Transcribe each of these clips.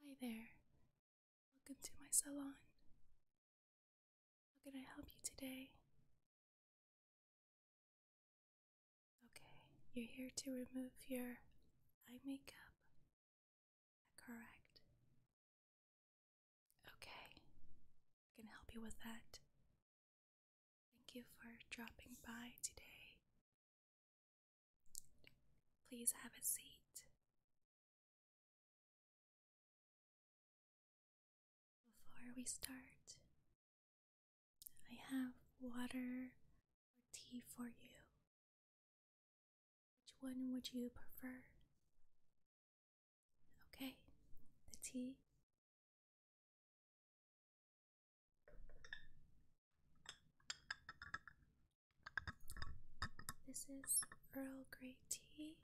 Hi there. Welcome to my salon. How can I help you today? Okay, you're here to remove your eye makeup. Correct. Okay, I can help you with that. Thank you for dropping by today. Please have a seat. Before we start, I have water or tea for you. Which one would you prefer? Okay, the tea. This is Earl Grey tea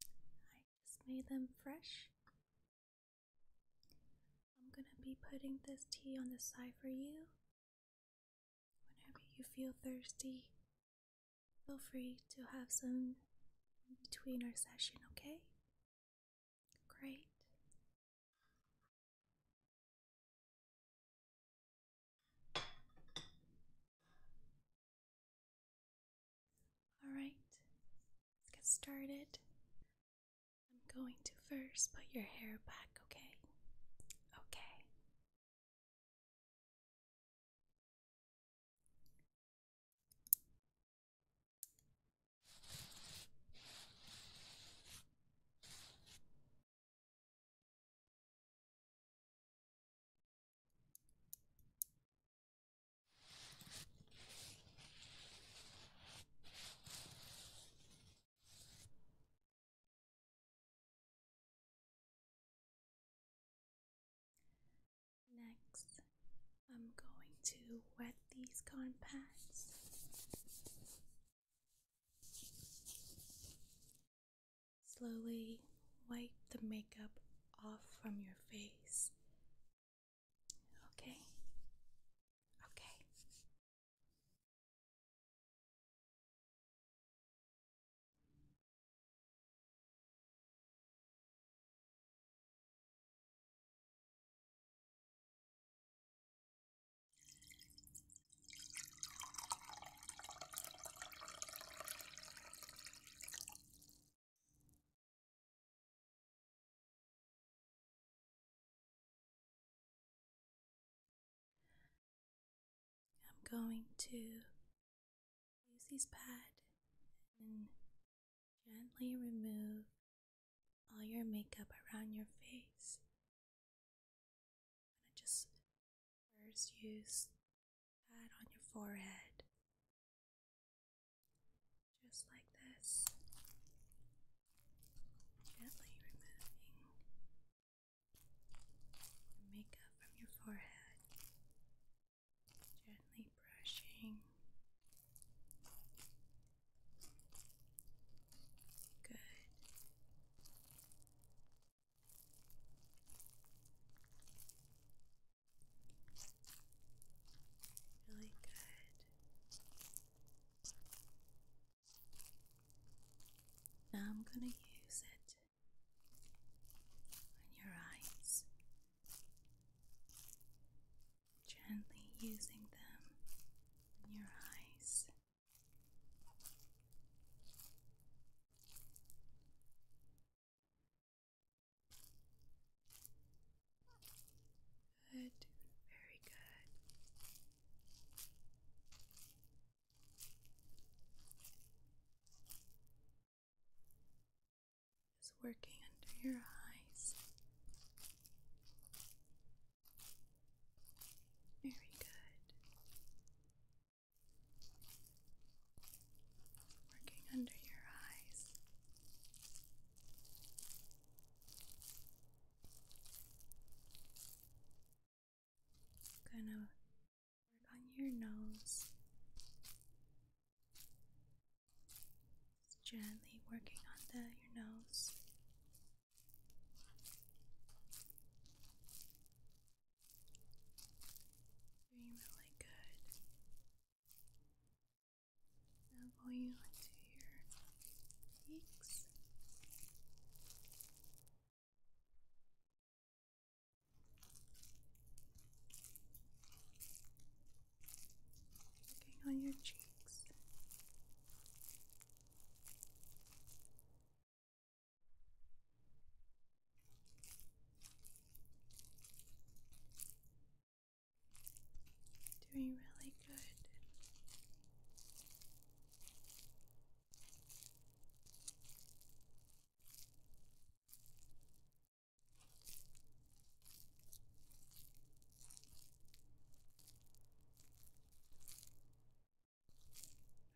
I just made them fresh. I'm gonna be putting this tea on the side for you. Whenever you feel thirsty, feel free to have some in between our session, okay? Great. All right, let's get started. I'm going to first put your hair back, okay? Okay. Next, I'm going to wet these cotton pads. Slowly wipe the makeup off from your face. Okay? Okay. I'm going to use these pad and gently remove all your makeup around your face i just first use that on your forehead, just like this, gently removing makeup from your forehead, gently brushing. Good. Really good. Now I'm going to use it on your eyes, gently using them in your eyes. Good, very good. Is working under your eyes. Very good working under your eyes. gonna work on your nose. gently working on the your nose. Doing really good. Now pull you your cheeks. Looking on your cheeks. Doing really good.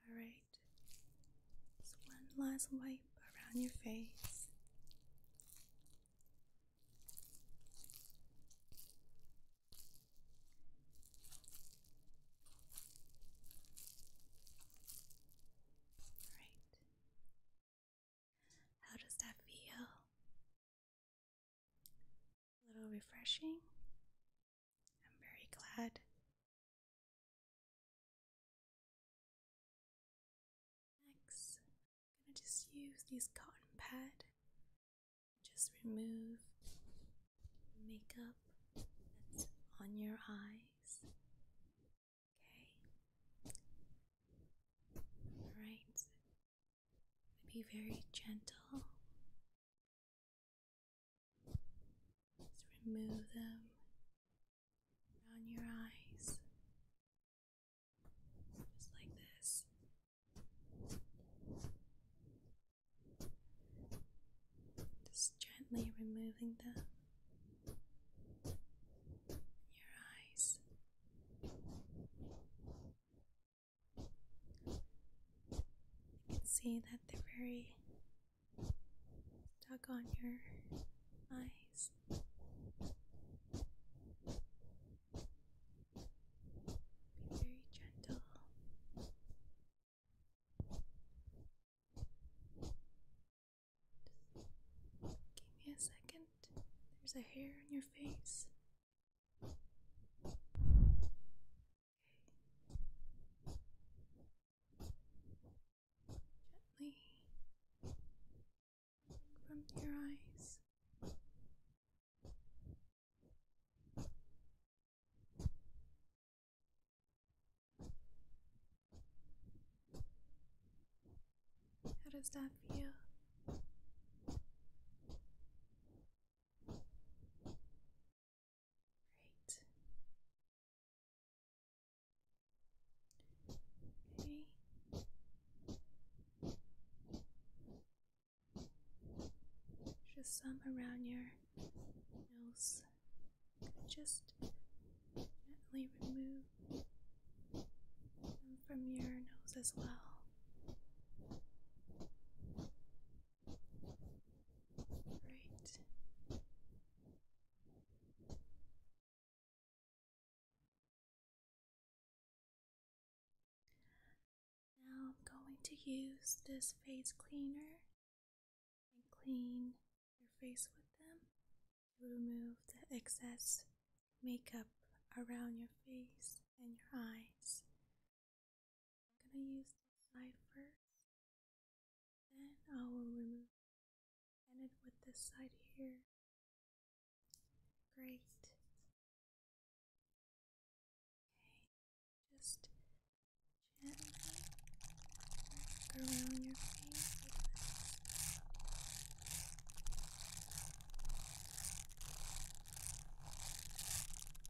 Alright, just one last wipe around your face. Right. How does that feel? A little refreshing? I'm very glad. Next, I'm going to just use these cotton pad. Just remove makeup on your eyes. Okay. All right. Be very gentle just remove them around your eyes, just like this. Just gently removing them. Your eyes. You can see that they're very Tug on your eyes. Be very gentle. give me a second. There's a hair on your face. Gently from your eyes. How does that feel? Great. Just some around your nose. Just gently remove them from your nose as well. Now I'm going to use this face cleaner and clean your face with them to remove the excess makeup around your face and your eyes I'm gonna use this side first, then I will remove and it with this side here. Great. Okay, just gently work around your face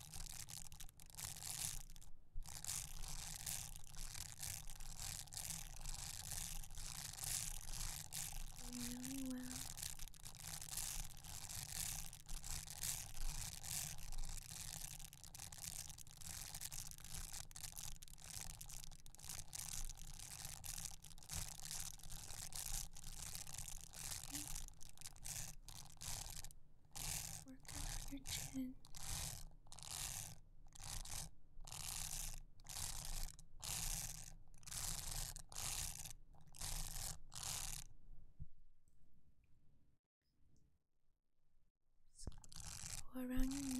really well. Okay. Work on your chin. Just go around your nose.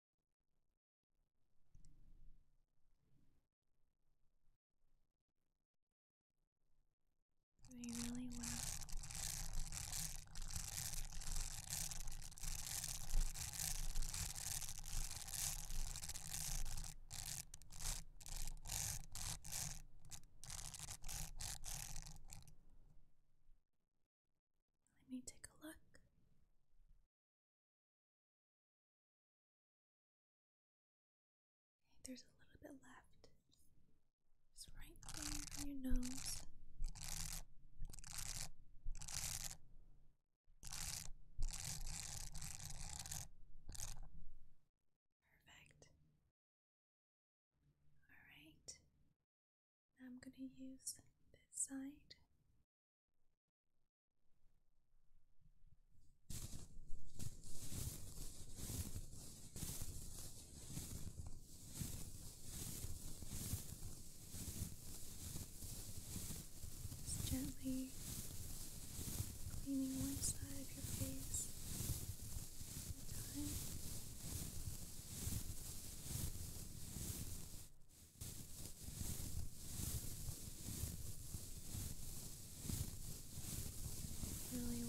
They really will. Let me take a look there's a little bit left. Just right on your nose. Perfect. All right. I'm going to use this side. Just gently cleaning one side of your face at a time really well. Okay.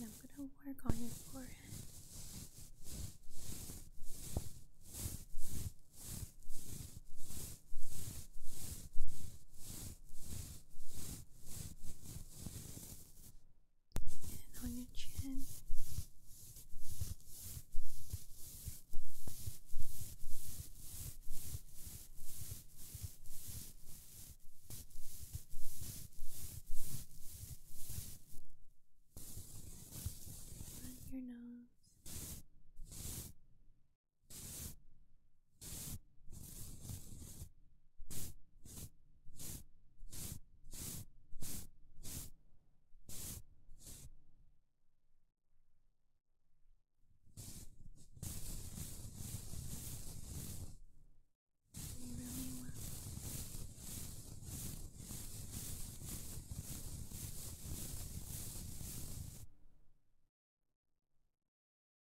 And I'm going to work on your forehead. And on your chin. Run your nose. Great.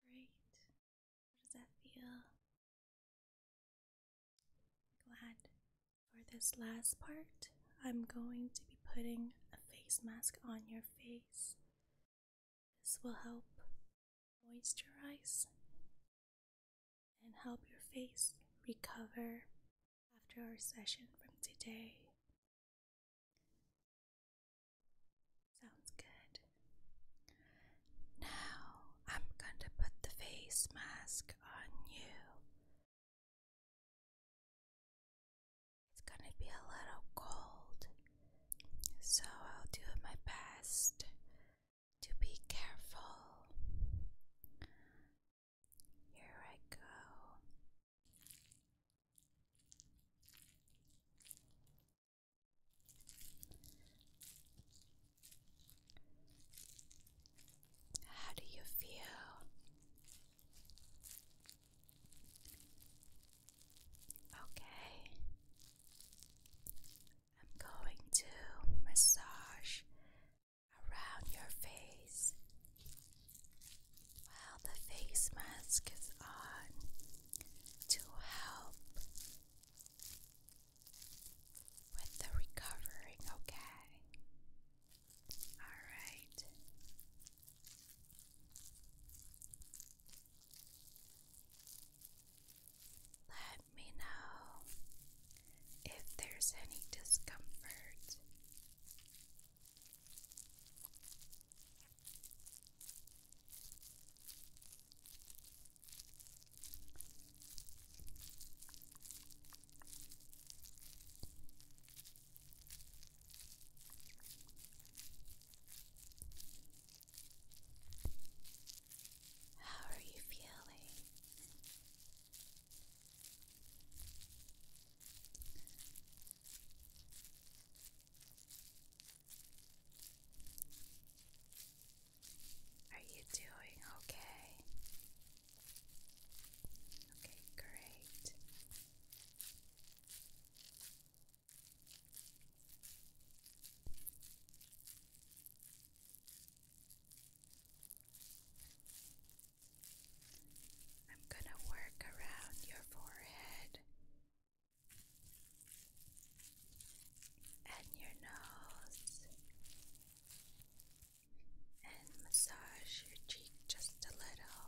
How does that feel? Glad for this last part, I'm going to be putting a face mask on your face this will help moisturize and help your face recover after our session from today. Sounds good. Now I'm going to put the face mask on you. It's going to be a little cold so I'll do my best to be careful. Here I go. How do you feel? Okay. I'm going to massage around your face. While the face mask is on to help with the recovering, okay? Alright. Let me know if there's any discomfort. How are you feeling? Are you doing okay? Okay, great. I'm going to work around your forehead and your nose and massage your cheek just a little.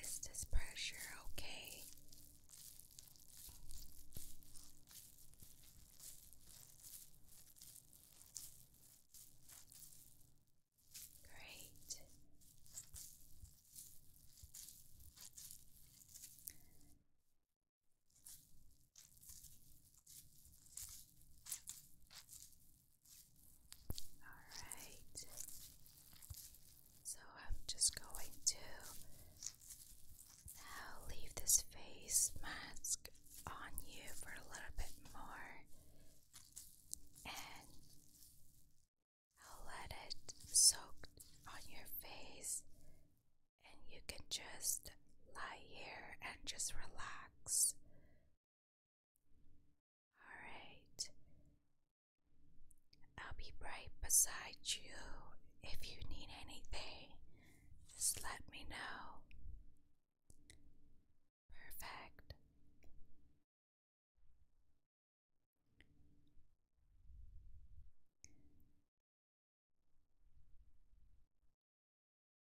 Is this pressure okay? Great. Alright, so I'm just going to now leave this face mask on you for a little bit more and I'll let it soak on your face, and you can just lie here and just relax. Alright. I'll be right beside you. If you need anything, just let me know. Perfect.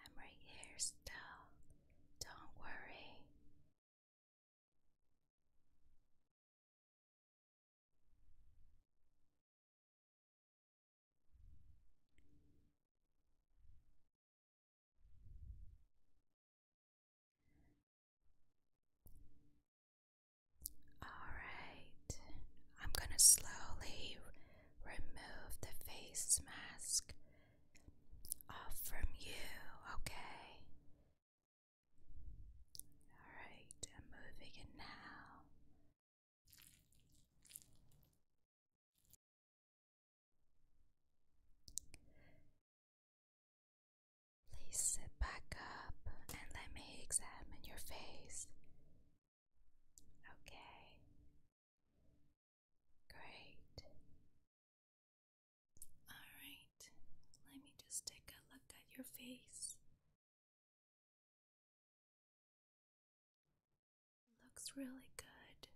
I'm right here still. Don't worry. All right, I'm going to slowly remove the face mask off uh, from you, okay? Alright, I'm moving it now. Please sit back up and let me examine your face. Okay, Great. Alright, let me just take a look at your face. Looks really good.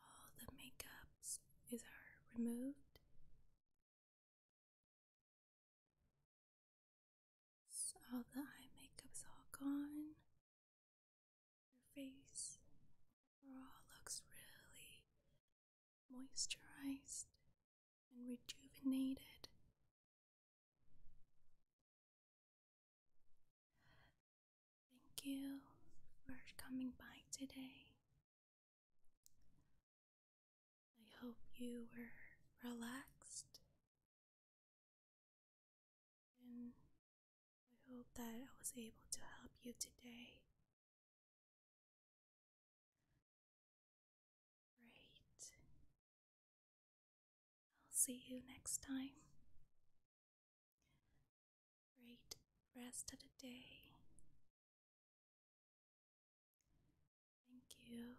All the makeups is are removed all the eye makeup's all gone. Your face overall looks really moisturized and rejuvenated. Thank you for coming by today. I hope you were relaxed and I hope that I was able to help you today. Great. I'll see you next time. Great rest of the day. Thank you.